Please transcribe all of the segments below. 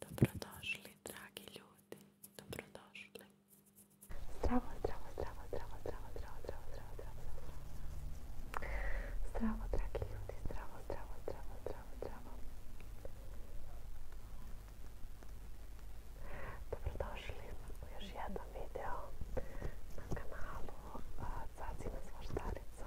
Dobrodošli, dragi ljudi. Dobrodošli. Zdravo, zdravo, zdravo, zdravo, zdravo, zdravo, zdravo, zdravo, zdravo, zdravo, dragi ljudi, zdravo, zdravo, zdravo, zdravo, zdravo. Dobrodošli u još jednom video na kanalu Cacina Svaštarica.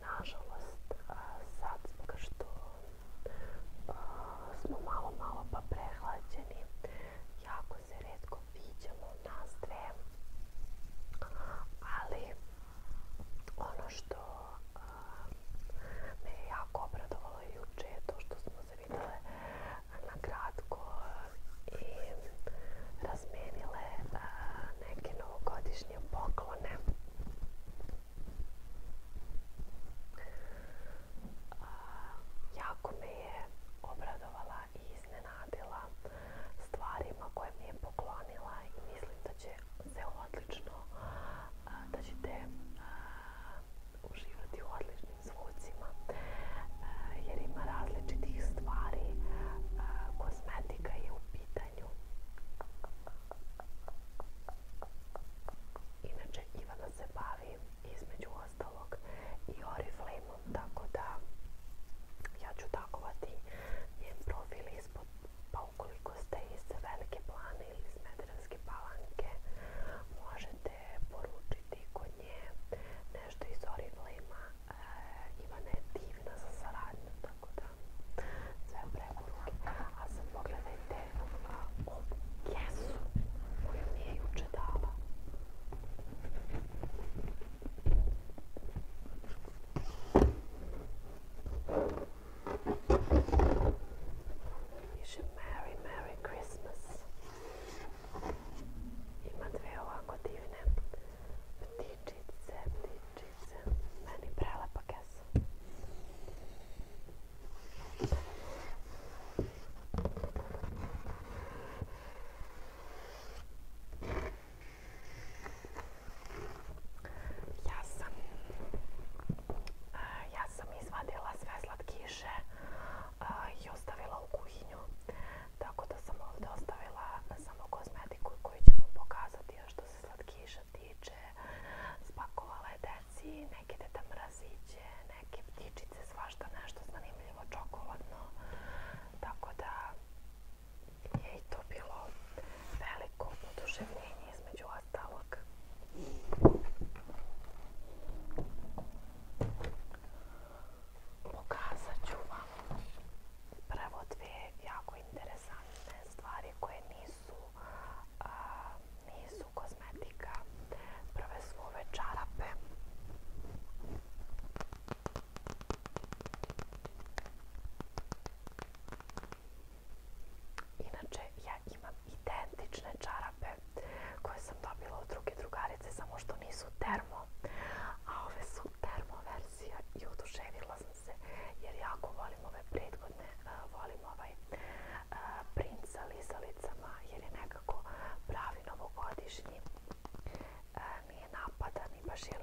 Nažalost, sad zbog što smo malo, malo pa prehlađeni, jako se redko viđamo nas dve, ali ono što me jako obradovalo jučer je to što smo se na kratko i razmijenile neke novogodišnje poklone. Jako me je obradovala i iznenadila stvarima koje mi je poklonila i mislim da će se odlično, da ćete uživati u zvucima e, jer ima različitih stvari. E, Kozmetika je u pitanju. Inače Ivana se bavi između ostalog i oriflame tako da ja ću takovati njen profil ispod, pa ukoliko ste iz Velike plane ili iz Medranske palanke, možete poručiti kod nje nešto iz Oriflame-a. E, Ivana je divna za saradnju, tako da sve A sad pogledajte ovu kesu koju mi je juče dala. Piše Merry Merry Christmas. Ima dve ovako divne ptičice, ptičice. Meni prelepake kesa. Ja sam, e, ja sam izvadila sve slatkiše a, i ostavila u kuhinju. Tako da sam ovdje ostavila samo kozmetiku koju ću vam pokazati. A što se slatkiša tiče, spakovala je neke deta neke ptičice, svašta nešto zanimljivo, čokoladno. Tako da je i to bilo veliko oduševljenje između ostalog pokazat ću vam prvo dvije jako interesantne stvari koje nisu nisu kozmetika prve su ove čarape Inače, ja imam identične čarape koje sam dobila od druge drugarice, samo što nisu termo, a ove su termo verzija i oduševila sam se jer jako volim ove prethodne, volim ovaj sa jer je nekako pravi novogodišnji, nije napadan i baš je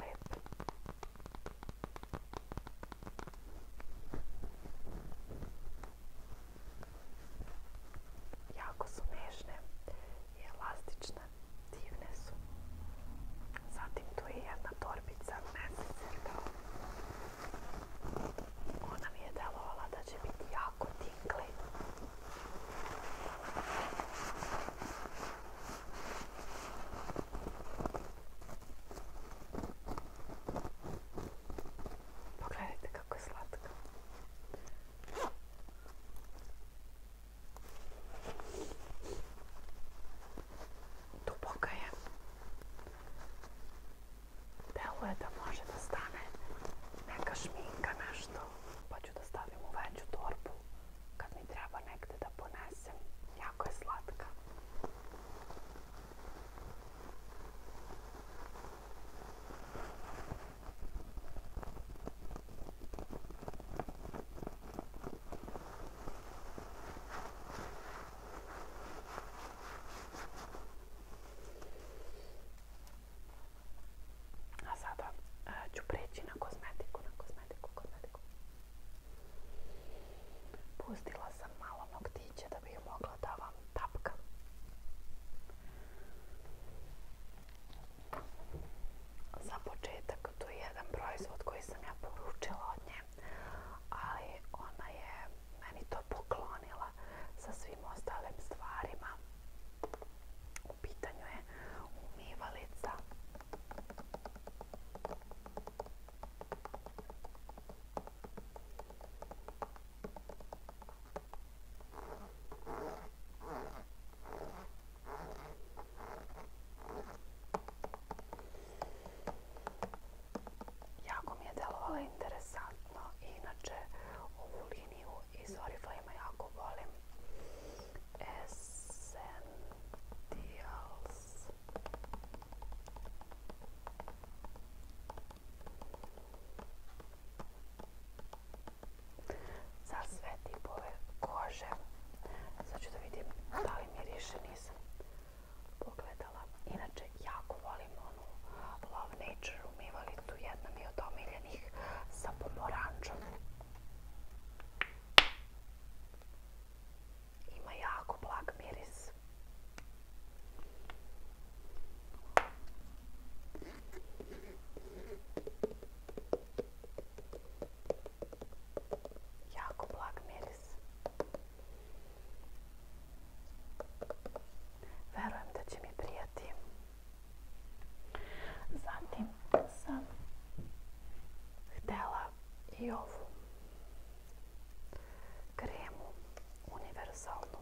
Jako su nežne i elastične, divne su. Zatim tu je jedna torbica mesec kao ona mi je delovala da će biti jako tinkli. Pogledajte kako je slatka. Duboka je. Deluje da može da stane neka šminka, nešto. Pa ću da stavim u veću torbu kad mi treba negde da ponesem. Jako je slatka. A sada e, ću preći na kozmetiku, na kozmetiku, Pustila sam malo noktiće da bih mogla da vam tapka za početak to je jedan proizvod koji sam ja poručila od nje, ali ona je meni to poklonila sa svim ostalim stvarima. U pitanju je umivalica. Jako mi je delovalo interesantno. Inače, ovu liniju iz Oriflame jako volim. Essentials za sve tipove kože. Sad ću da vidim da li miriše, nisam pogledala. Inače, jako volim onu Love Nature umivalicu, jedna mi od omiljenih sa pomoranđom. Ima jako blag miris. Jako blag miris. da će mi prijati. Zatim sam htjela i ovu kremu univerzalnu.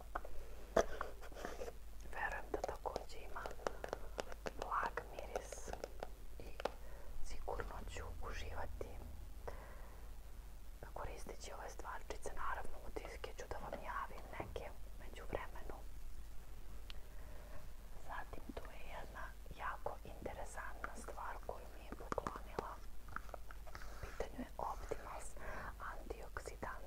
Verujem da također ima blag miris i sigurno ću uživati koristeći ove stvarčice. Naravno, utiske ću da vam javim neke među vremenu. Zatim, tu je jedna jako interesantna stvar koju mi je poklonila. U pitanju je Optimals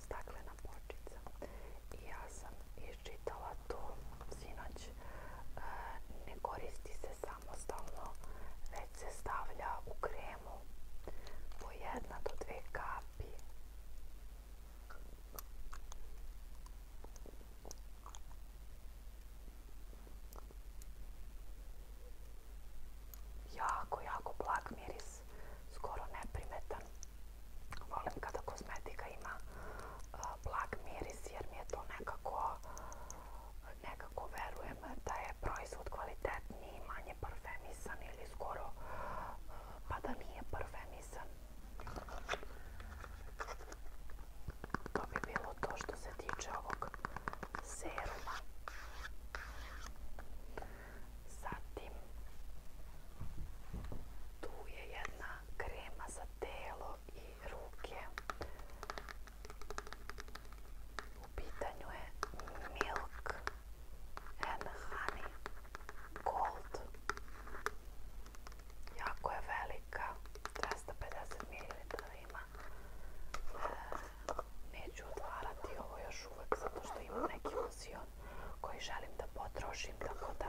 staklena močica i ja sam iščitala to sinoć. E, ne koristi se samostalno, već se stavlja u kremu po jedna do dve kapi. Jako, jako blag miris skoro neprimetan. Volim kada kozmetika ima blag miris jer mi je to nekako nekako da je proizvod kvalitetniji, manje parfemisan ili skoro pa da nije parfemisan. To bi bilo to što se tiče ovog seruma. Zatim tu je jedna krema za telo i ruke. U pitanju je Milk and Honey Gold. Jako je velika, 250 ml ima. E, neću odvarati ovo još uvijek zato što ima neki koji želim da potrošim tako da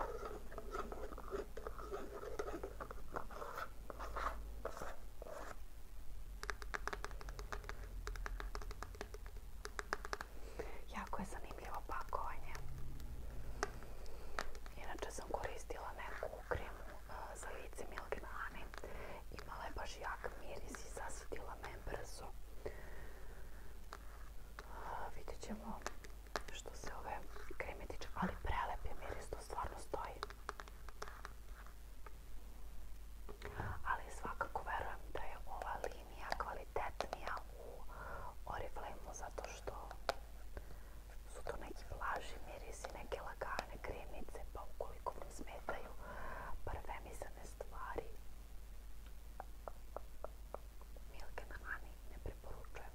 Jako je zanimljivo pakovanje. Inače sam koristila neku kremu e, za lice Imala je baš jak miris i zasudila me brzo vidjet ćemo što se ove kreme ali prelep miris, to stvarno stoji. Ali svakako verujem da je ova linija kvalitetnija u oriflame zato što su to neki vlaži mirisi, neke lagane kremice, pa ukoliko vam smetaju ne stvari, Milke na ne preporučujem.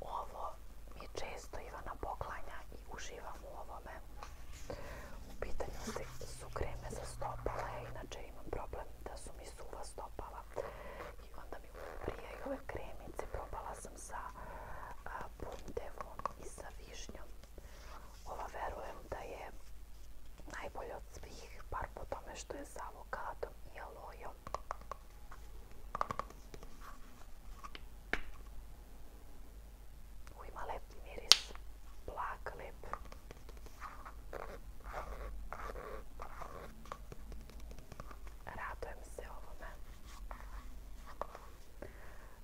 Ovo mi često Ivana poklanja i uživam u ovome. U pitanju su kreme za stopala, inače imam problem da su mi suva stopala. I onda mi prije ove kremice probala sam sa puntevom i sa višnjom. Ova verujem da je najbolja od svih, par po tome što je s avokadom i alojom. U ima miris, blag Radujem se ovome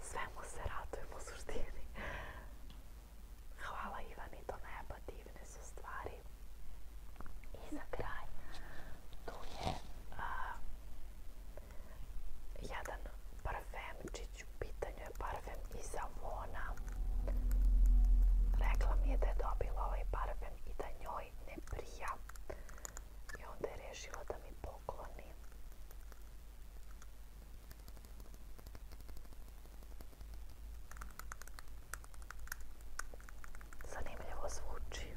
svemu se radujemo Hvala Ivani, to su stvari. I za kraj, tu je jedan parfemčić, u pitanju je parfem iz Avona. Rekla mi je da je dobila ovaj parfem i da njoj ne prija. I onda je rešila da mi pokloni. Zanimljivo zvuči.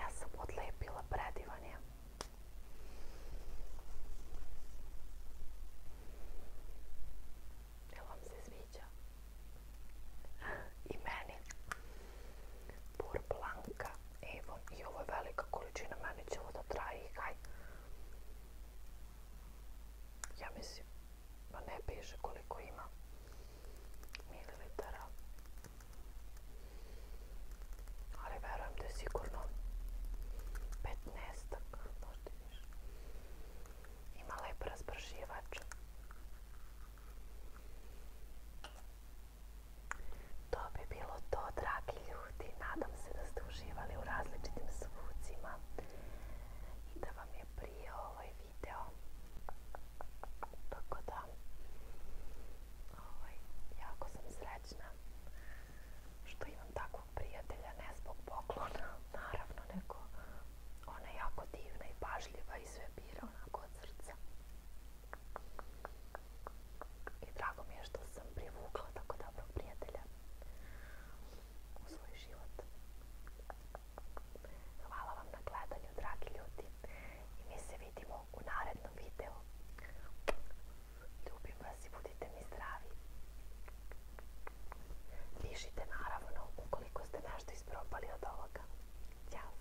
Ja sam odlepila predivanje. Jel vam se sviđa? I meni. Blanka, evo i ovo je velika količina, meni će ovo da traje Ja mislim, pa ne piše koliko ima mililitara. Ali verujem da je sigurno 15 možda više. Ima lep razbrživač. To bi bilo to, dragi ljudi. Nadam se da ste uživali u različitim svucima i da vam je prije ovaj video. Tako da, ovaj, jako sam srećna što imam takvog prijatelja, ne zbog poklona, naravno, nego ona je jako divna i pažljiva i sve bira onako od srca. I drago mi je što sam privukla tako dobro prijatelja u svoj život. Hvala vam na gledanju, dragi ljudi. I mi se vidimo u narednom videu. Ljubim vas i budite mi zdravi. Pišite naravno ukoliko ste nešto isprobali od ovoga. Ćao!